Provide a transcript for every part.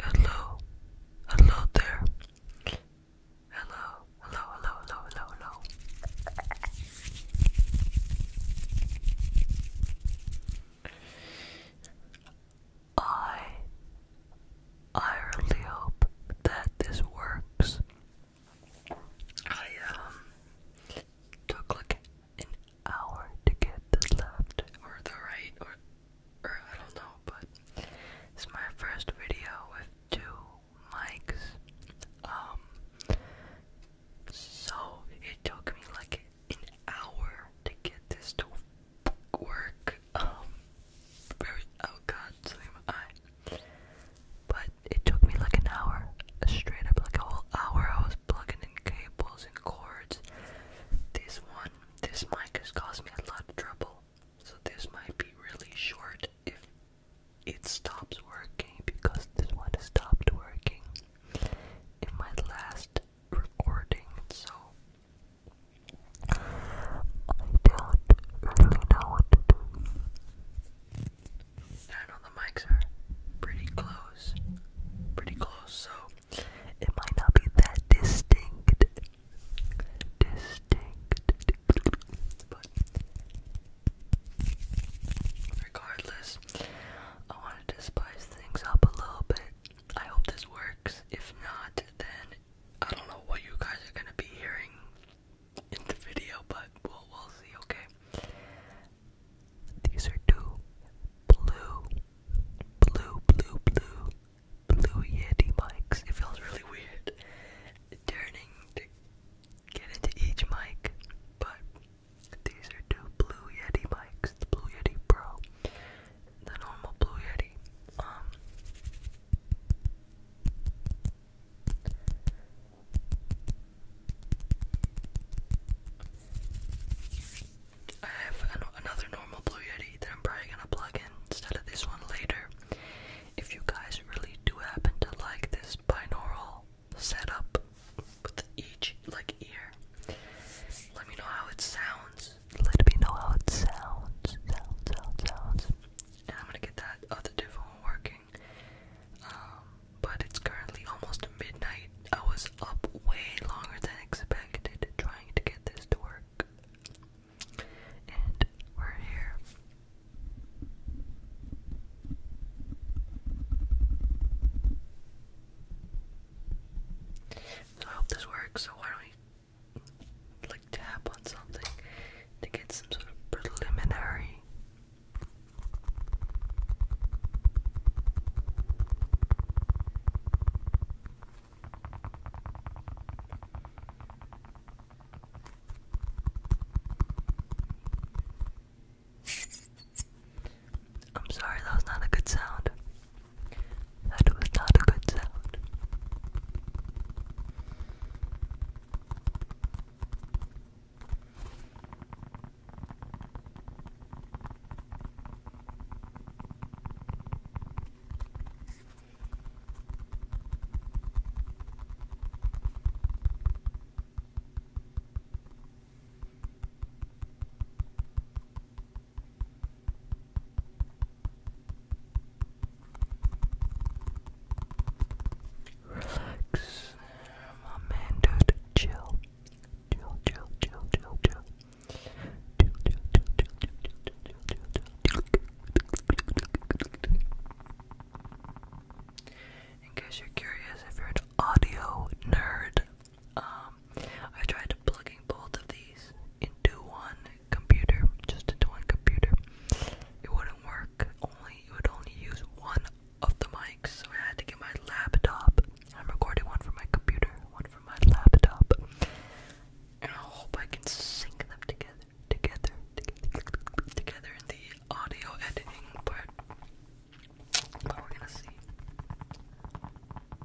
Hello, hello there. Hello, hello, hello, hello, hello, I I really hope that this works. I um, took like an hour to get the left or the right or I don't know, but it's my first video with two mics. Um so it took me like an hour to get this to work. Um, oh god, my eye. But it took me like an hour, straight up like a whole hour. I was plugging in cables and cords. This one, this mic has caused me a lot of trouble. So this might be really short if it stops working because this one stopped working in my last recording. So I don't really know what to do. I know the mics are pretty close, pretty close, so it might not be that distinct, distinct, but regardless, I wanted to spice things up a little bit. I hope this works. If not, then I don't know what you guys are gonna be hearing in the video, but we'll, see, okay? These are two blue, blue, blue, blue, blue Yeti mics. It feels really weird turning to get into each mic, but these are two blue Yeti mics, the Blue Yeti Pro the normal Blue Yeti. Um, I have another normal Blue Yeti that I'm probably gonna plug in instead of this one later. If you guys really do happen to like this binaural setup with each like ear, let me know how it sounds let me know how it sounds. Sounds, sounds, sounds. And I'm gonna get that other div working. Um, but it's currently almost midnight. I was up way longer than expected trying to get this to work. And we're here. I hope this works, so why don't you like tap on something to get some sort of preliminary I'm sorry, that was not a good sound. That was not a good sound. Relax, my man, dude. Chill, chill, chill, chill, chill, chill. Chill, chill, chill, chill, chill, chill, chill, chill, chill. In case you're curious, if you're an audio nerd, um, I tried plugging both of these into one computer, just into one computer. It wouldn't work. Only it would only use one of the mics, so I had to get my laptop. I'm recording one from my computer, one from my laptop, and I hope I can sync them together, together, together, together in the audio editing part. But we're gonna see.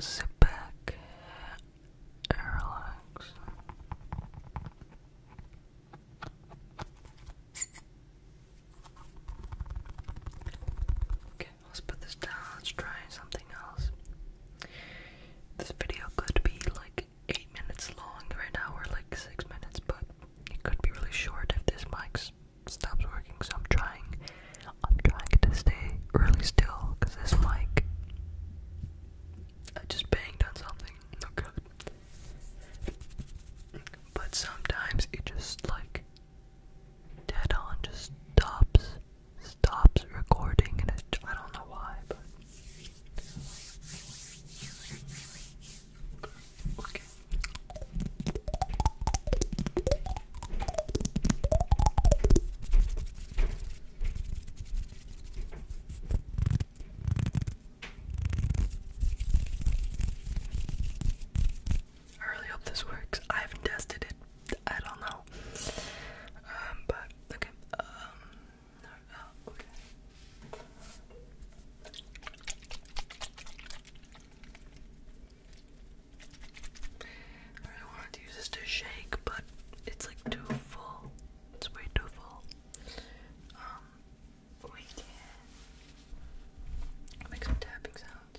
Sit back relax. Okay, let's put this down. Let's try something else. This video could be like eight minutes long. Right now we're like six minutes, but it could be really short if this mic's stops working, so I'm trying, I'm trying to stay really still, cause this mic, I just banged on something, oh but sometimes it just like, dead on, just stops, stops recording, and I don't know why, Okay. I really hope this works. I haven't tested it. I don't know. Um, but okay. Um, oh, I really wanted to use this to shake, but it's like too full. It's way too full. Um, we can make some tapping sounds.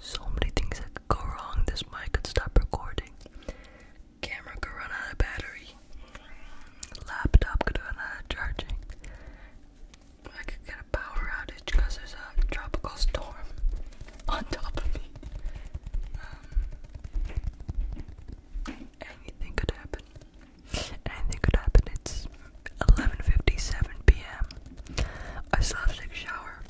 So many things that could go wrong. This mic could stop recording. Camera could run out of battery. Laptop could run out of charging. I could get a power outage because there's a tropical storm on top of me. Um, anything could happen. Anything could happen. It's 11:57 p.m. I still have to take a shower.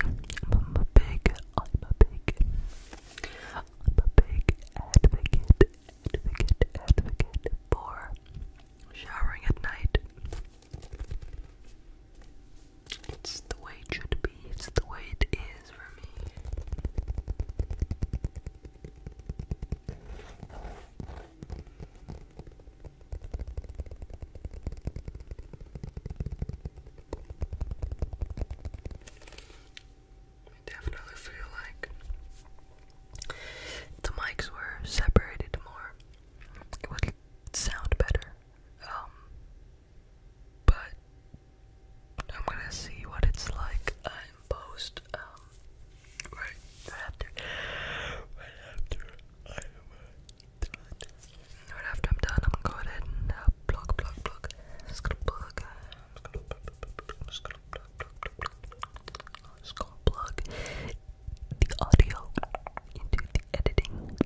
I'm a big, I'm a big, I'm a big advocate, advocate, advocate for showering at night. It's the way it should be, it's the way it is for me. I definitely feel like the mics were separated more. It would sound better. Um, but I'm gonna see what it's like in post. Um, right after, right after I'm Right after I'm done, I'm gonna go ahead and uh, block, block, block. just gonna plug. just gonna plug, I'm just gonna the audio into the editing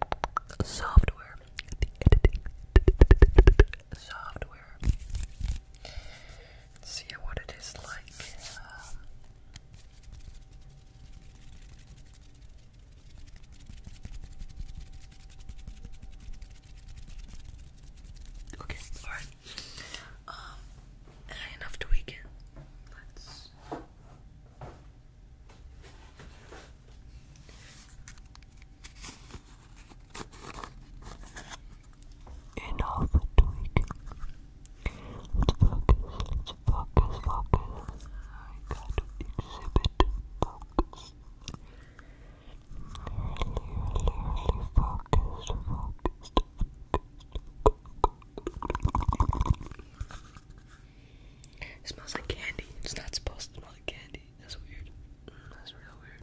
software. The editing software. see what it is like. Okay, alright. Um, enough tweaking. Let's. Enough tweaking. Let's focus focus, focus, I got to exhibit focus. Really, really, focused, focused, It smells like candy. It's not supposed to smell like candy. That's weird. That's real weird.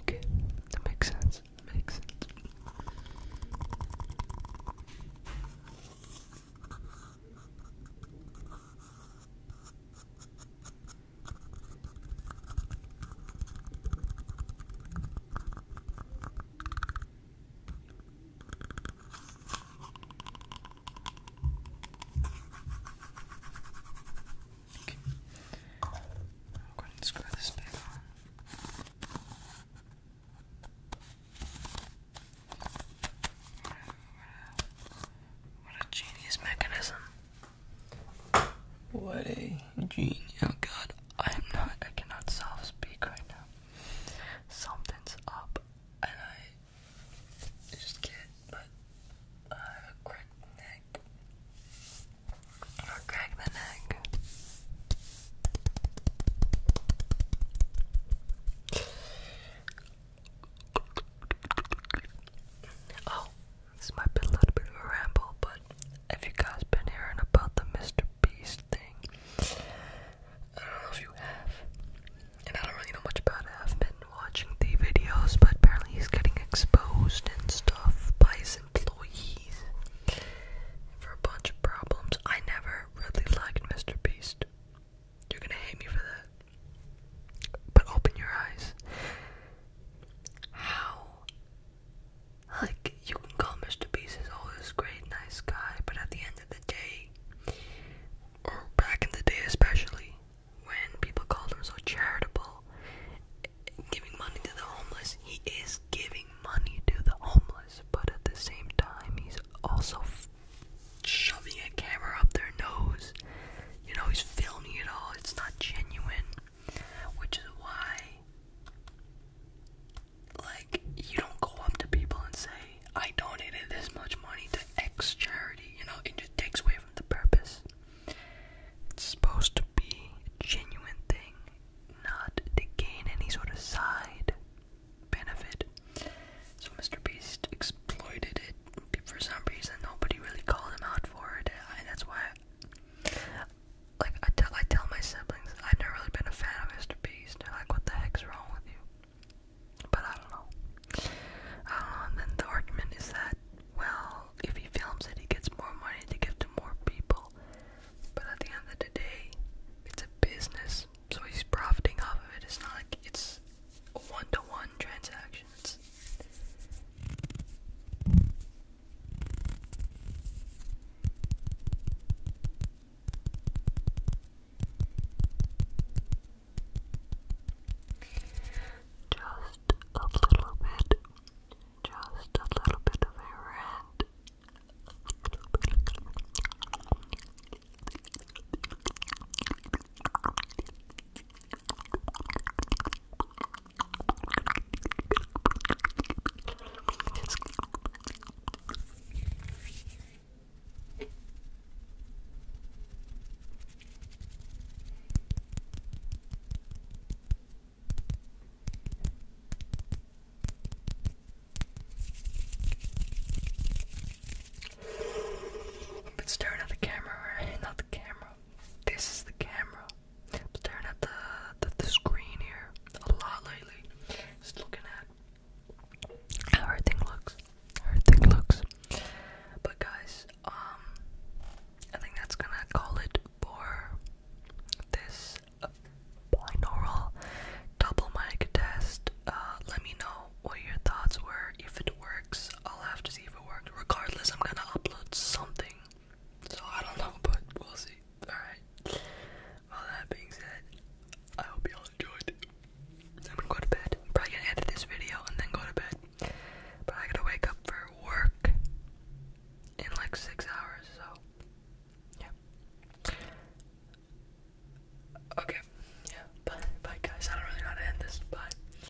Okay, that makes sense. makes sense. I'll go ahead screw this back on. What a, what a genius mechanism. What a genius. Oh god, I'm not, I cannot self speak right now. Something's up, and I just can't, but I uh, crack the neck. I crack the neck. Oh, this might be a little bit of a ramble, but have you guys been hearing about the Mr. Beast thing? I don't know if you have, and I don't really know much about it. I've been watching the videos, but apparently he's getting exposed and stuff by his employees for a bunch of problems. I never really liked Mr. Beast. You're gonna hate me for that. But open your eyes. How like, you can call Mr. Beast is always great, nice guy, but at the end of the day, or back in the day especially, when people called him so charitable, giving money to the homeless, he is giving money to the homeless, but at the same time, he's also shoving a camera up their nose. You know, he's filming it all, it's not genuine which is why like you don't go up to people and say I donated this much money to X charity, you know, it just takes away from the purpose. It's supposed to be a genuine thing, not to gain any sort of side benefit. So Mr. Beast exploited it for some reason. Nobody really called him out for it, and that's why like I tell I tell my siblings I've never really been a fan of Mr. Beast. they like, what the heck's wrong with you? But I don't know. and then the argument is that well, if he films it, he gets more money to give to more people. But at the end of the day, it's a business, so he's profiting off of it. It's not like it's a one to -one transaction directions. Just a little bit, just a little bit of a rant. I've been staring at the camera, right? Not the camera. This is the camera staring at the, the screen here a lot lately. Just looking at how everything looks. How everything looks. But guys, um I think that's gonna call it for this uh, binaural double mic test. Uh let me know what your thoughts were if it worked. I'll have to see if it works. Regardless, I'm gonna upload something. So I don't know, but we'll see. Alright. Well, that being said, I hope y'all enjoyed. I'm gonna go to bed. probably gonna edit this video and then go to bed. But I gotta wake up for work in like six hours, so. Yeah. Okay. Yeah. Bye. Bye, guys. I don't really know to end this. Bye.